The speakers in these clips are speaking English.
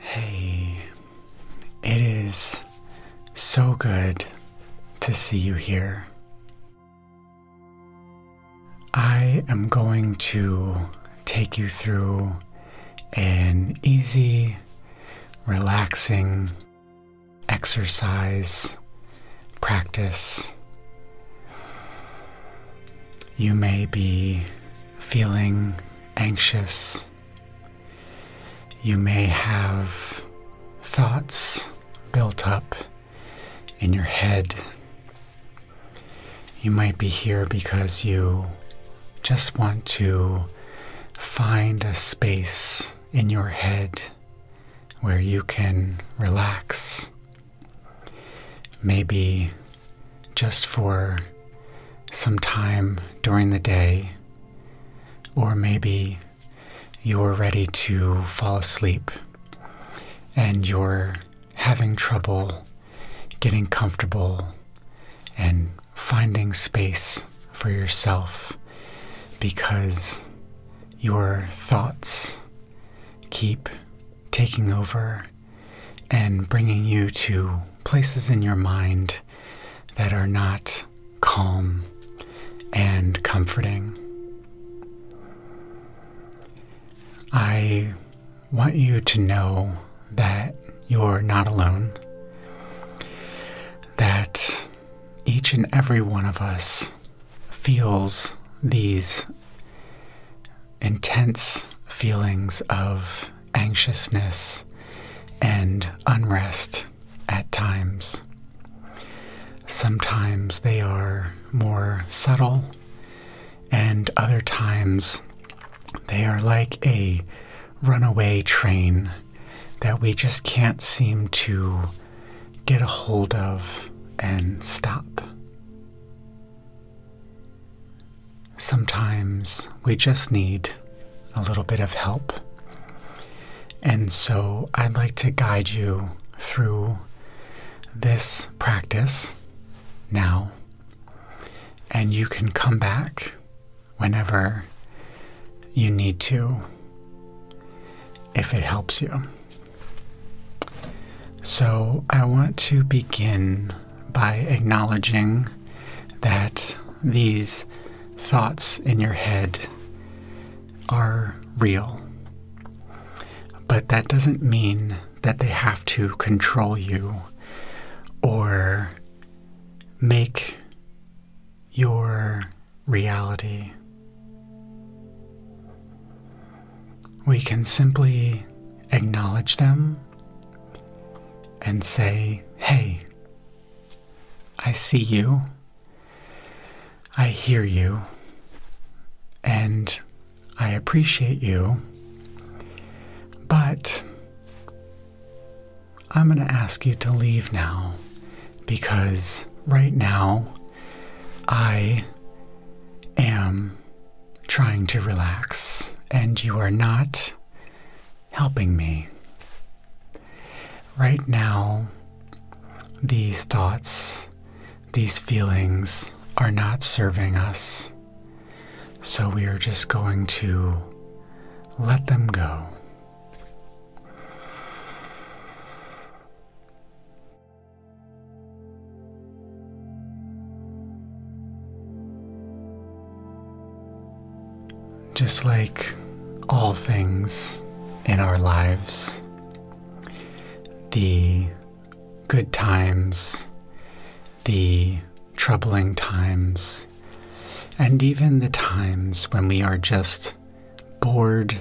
Hey, it is so good to see you here. I am going to take you through an easy, relaxing, exercise, practice. You may be feeling anxious. You may have thoughts built up in your head. You might be here because you just want to find a space in your head where you can relax. Maybe just for some time during the day, or maybe you're ready to fall asleep and you're having trouble getting comfortable and finding space for yourself because your thoughts keep taking over and bringing you to places in your mind that are not calm and comforting. I want you to know that you're not alone, that each and every one of us feels these intense feelings of anxiousness and unrest at times. Sometimes they are more subtle, and other times they are like a runaway train that we just can't seem to get a hold of and stop. Sometimes we just need a little bit of help. And so I'd like to guide you through this practice now. And you can come back whenever you need to, if it helps you. So, I want to begin by acknowledging that these thoughts in your head are real. But that doesn't mean that they have to control you or make your reality. We can simply acknowledge them and say, Hey, I see you, I hear you, and I appreciate you, but I'm going to ask you to leave now because right now I am trying to relax and you are not helping me. Right now, these thoughts, these feelings are not serving us. So we are just going to let them go. Just like all things in our lives, the good times, the troubling times, and even the times when we are just bored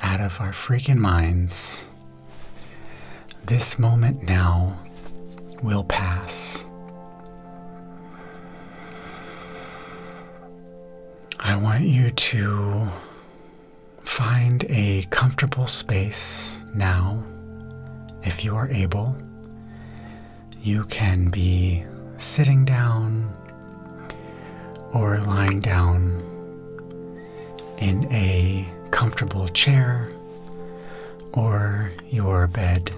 out of our freaking minds. This moment now will pass. I want you to find a comfortable space now, if you are able, you can be sitting down or lying down in a comfortable chair or your bed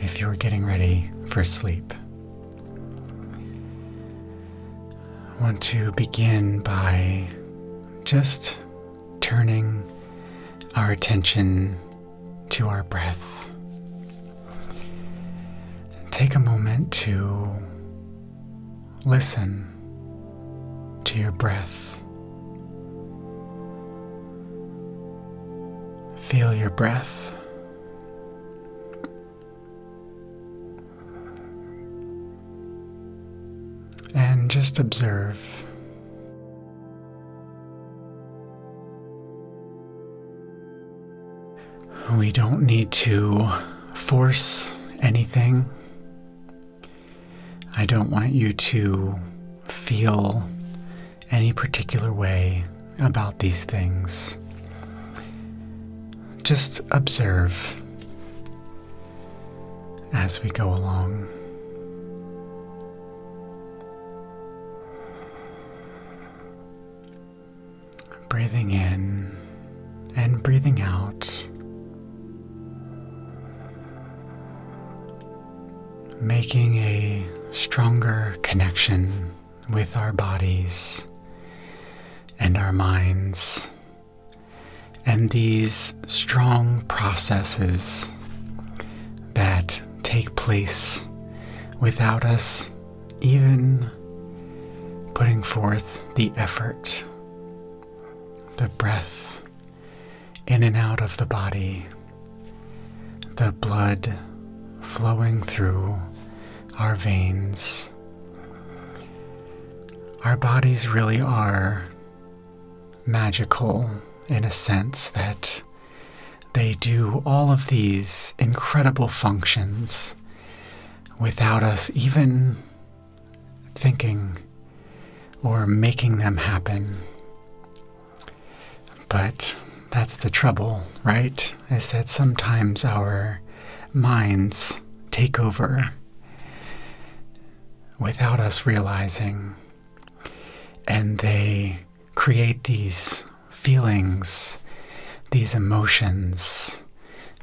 if you're getting ready for sleep. I want to begin by just turning our attention to our breath. Take a moment to listen to your breath. Feel your breath. And just observe. We don't need to force anything. I don't want you to feel any particular way about these things. Just observe as we go along breathing in and breathing out, making a stronger connection with our bodies and our minds and these strong processes that take place without us even putting forth the effort, the breath in and out of the body, the blood flowing through our veins. Our bodies really are magical in a sense that they do all of these incredible functions without us even thinking or making them happen. But that's the trouble, right? Is that sometimes our minds take over without us realizing, and they create these feelings, these emotions,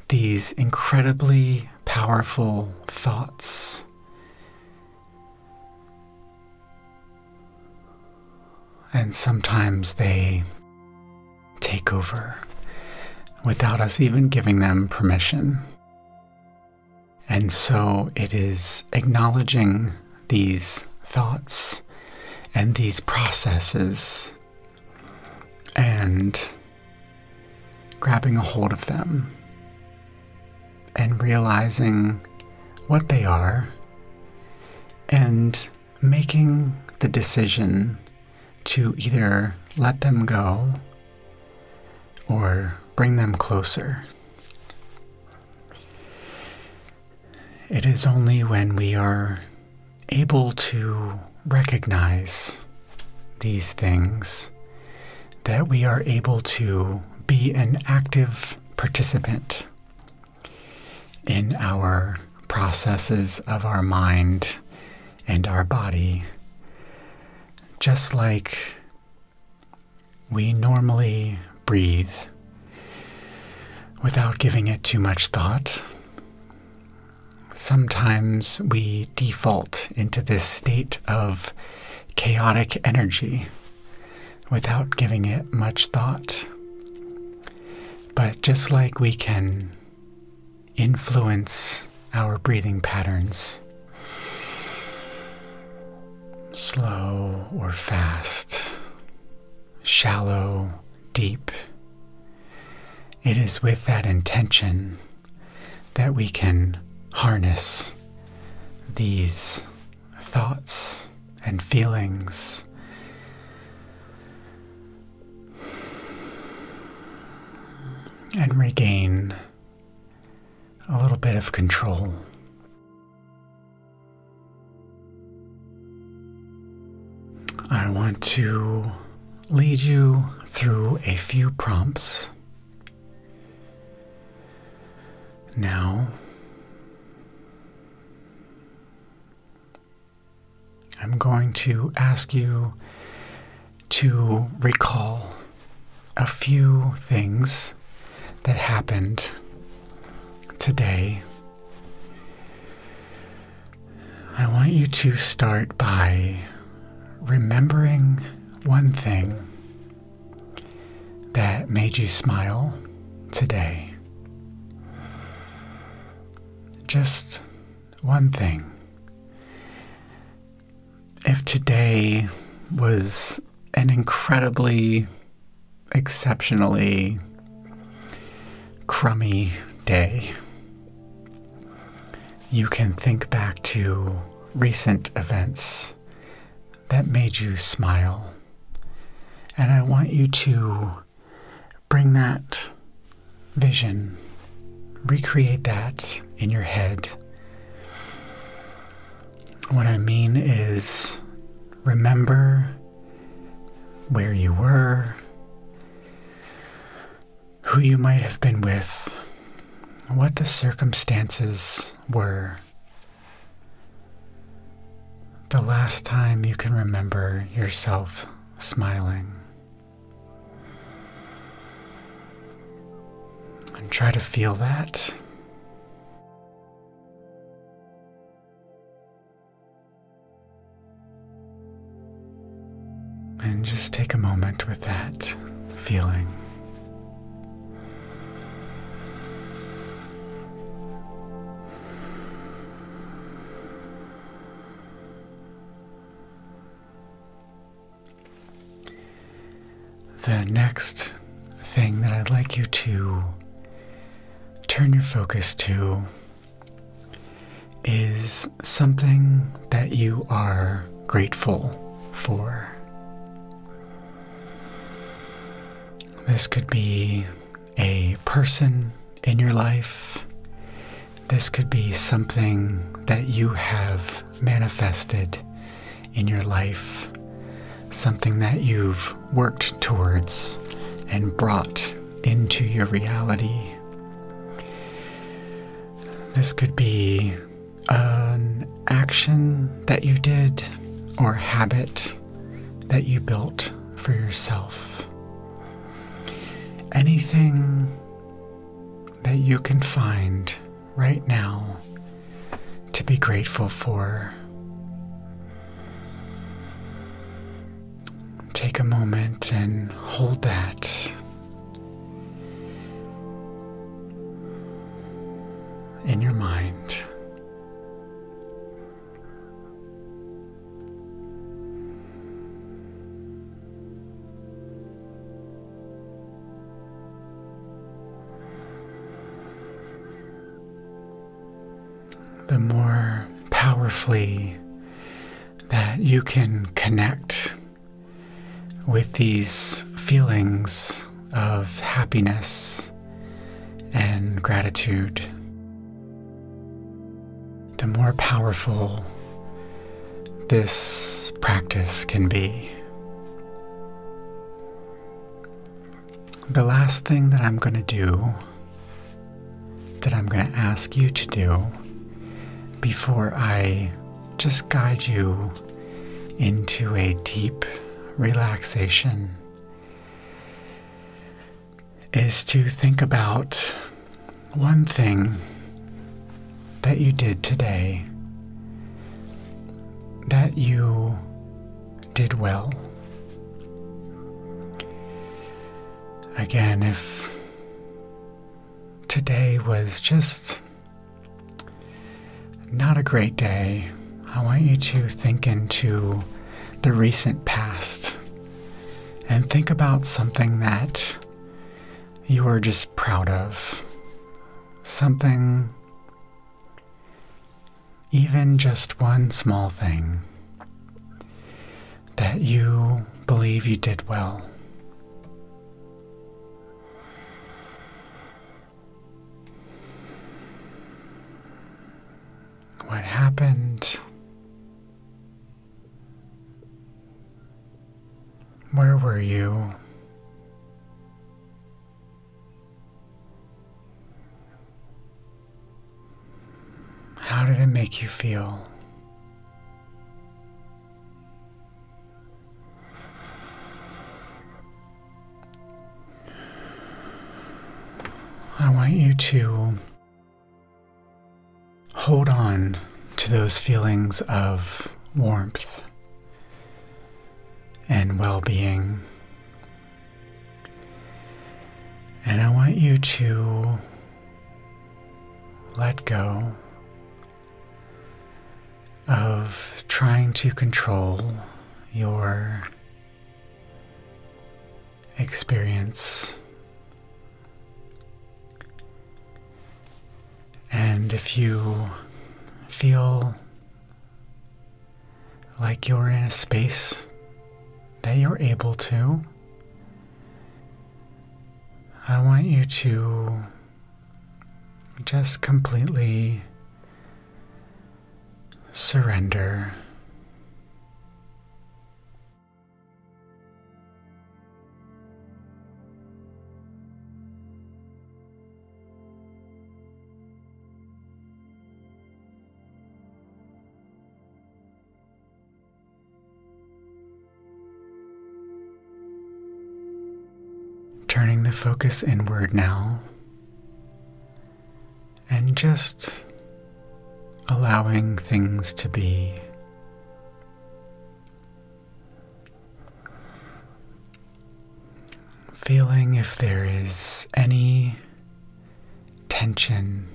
these incredibly powerful thoughts. And sometimes they take over without us even giving them permission. And so it is acknowledging these thoughts and these processes and grabbing a hold of them and realizing what they are and making the decision to either let them go or bring them closer. It is only when we are able to recognize these things that we are able to be an active participant in our processes of our mind and our body, just like we normally breathe without giving it too much thought. Sometimes we default into this state of chaotic energy without giving it much thought. But just like we can influence our breathing patterns, slow or fast, shallow, deep. It is with that intention that we can harness these thoughts and feelings. And regain a little bit of control. I want to lead you through a few prompts. Now, I'm going to ask you to recall a few things that happened today, I want you to start by remembering one thing that made you smile today. Just one thing. If today was an incredibly, exceptionally crummy day. You can think back to recent events that made you smile. And I want you to bring that vision, recreate that in your head. What I mean is, remember where you were, who you might have been with, what the circumstances were. The last time you can remember yourself smiling. And try to feel that. And just take a moment with that feeling. The next thing that I'd like you to turn your focus to is something that you are grateful for. This could be a person in your life. This could be something that you have manifested in your life, something that you've worked towards and brought into your reality. This could be an action that you did or habit that you built for yourself. Anything that you can find right now to be grateful for. Take a moment and hold that. In your mind the more powerfully that you can connect with these feelings of happiness and gratitude, the more powerful this practice can be the last thing that I'm going to do, that I'm going to ask you to do before I just guide you into a deep relaxation, is to think about one thing that you did today that you did well. Again, if today was just not a great day, I want you to think into the recent past and think about something that you are just proud of, something even just one small thing that you believe you did well. What happened? Where were you? How did it make you feel? I want you to hold on to those feelings of warmth and well being and I want you to let go of trying to control your experience. And if you feel like you're in a space that you're able to. I want you to just completely surrender. Turning the focus inward now and just allowing things to be. Feeling if there is any tension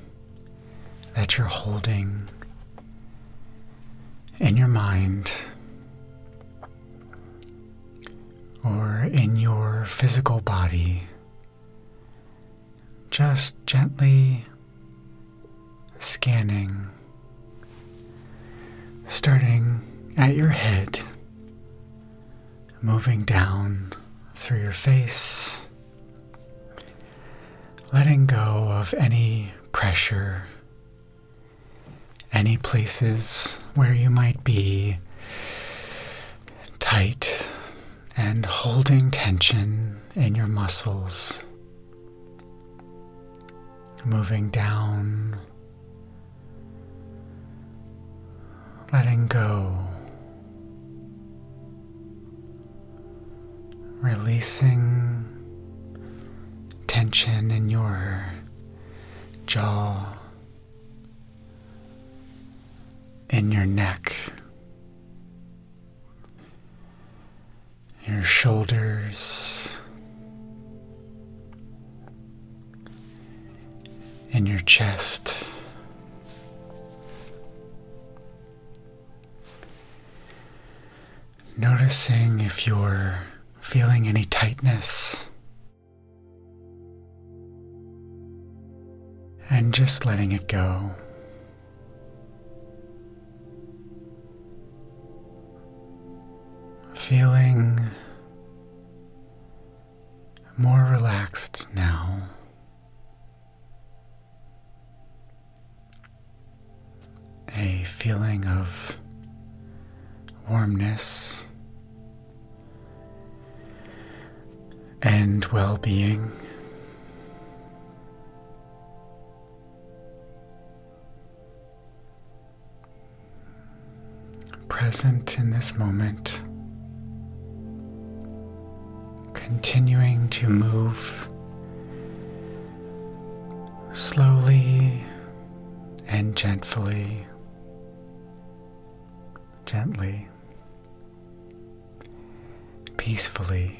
that you're holding in your mind or in your physical body, just gently scanning, starting at your head moving down through your face, letting go of any pressure, any places where you might be tight and holding tension in your muscles. Moving down letting go, releasing tension in your jaw, in your neck, your shoulders in your chest. Noticing if you're feeling any tightness. And just letting it go. Feeling more relaxed now. A feeling of warmness and well being present in this moment, continuing to move slowly and gently, gently, peacefully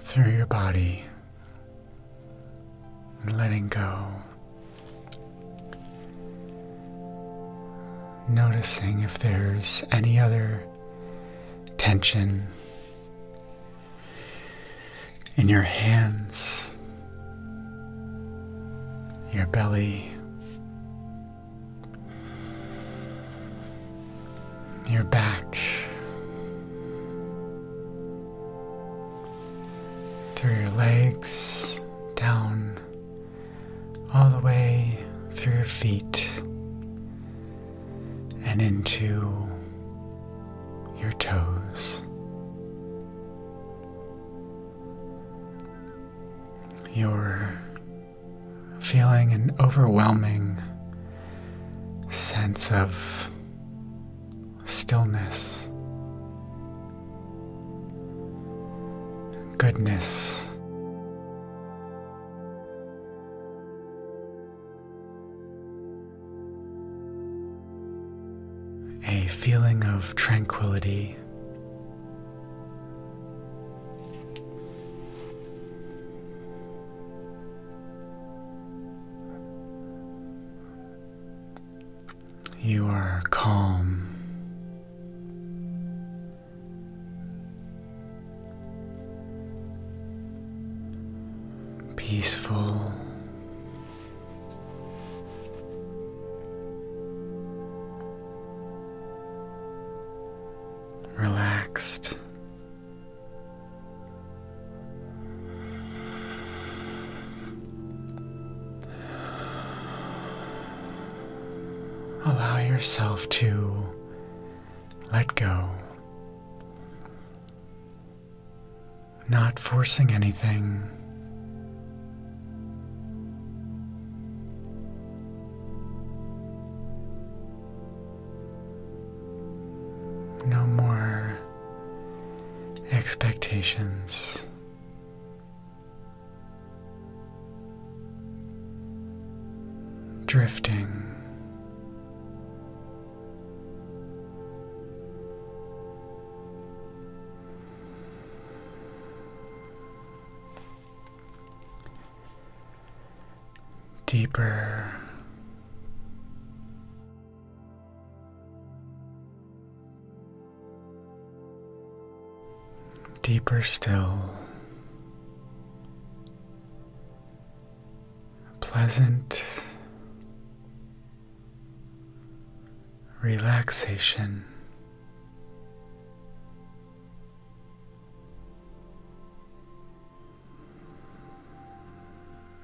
through your body and letting go. Noticing if there's any other tension in your hands, your belly, your back, through your legs, down, all the way through your feet, and into your toes. You're feeling an overwhelming sense of stillness, goodness. A feeling of tranquility. You are calm. Peaceful. Relaxed. Allow yourself to let go, not forcing anything. No more expectations. Drifting, deeper Deeper still, pleasant relaxation.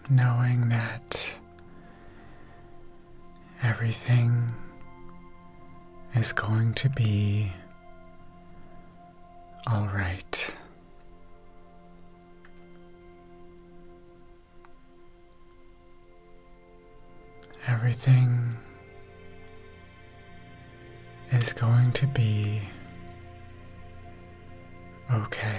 Knowing that everything is going to be all right. Everything is going to be okay.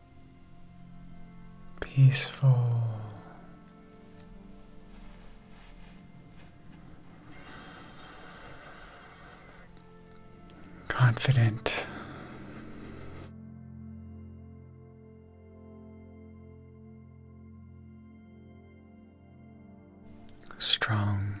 peaceful. Confident. Strong,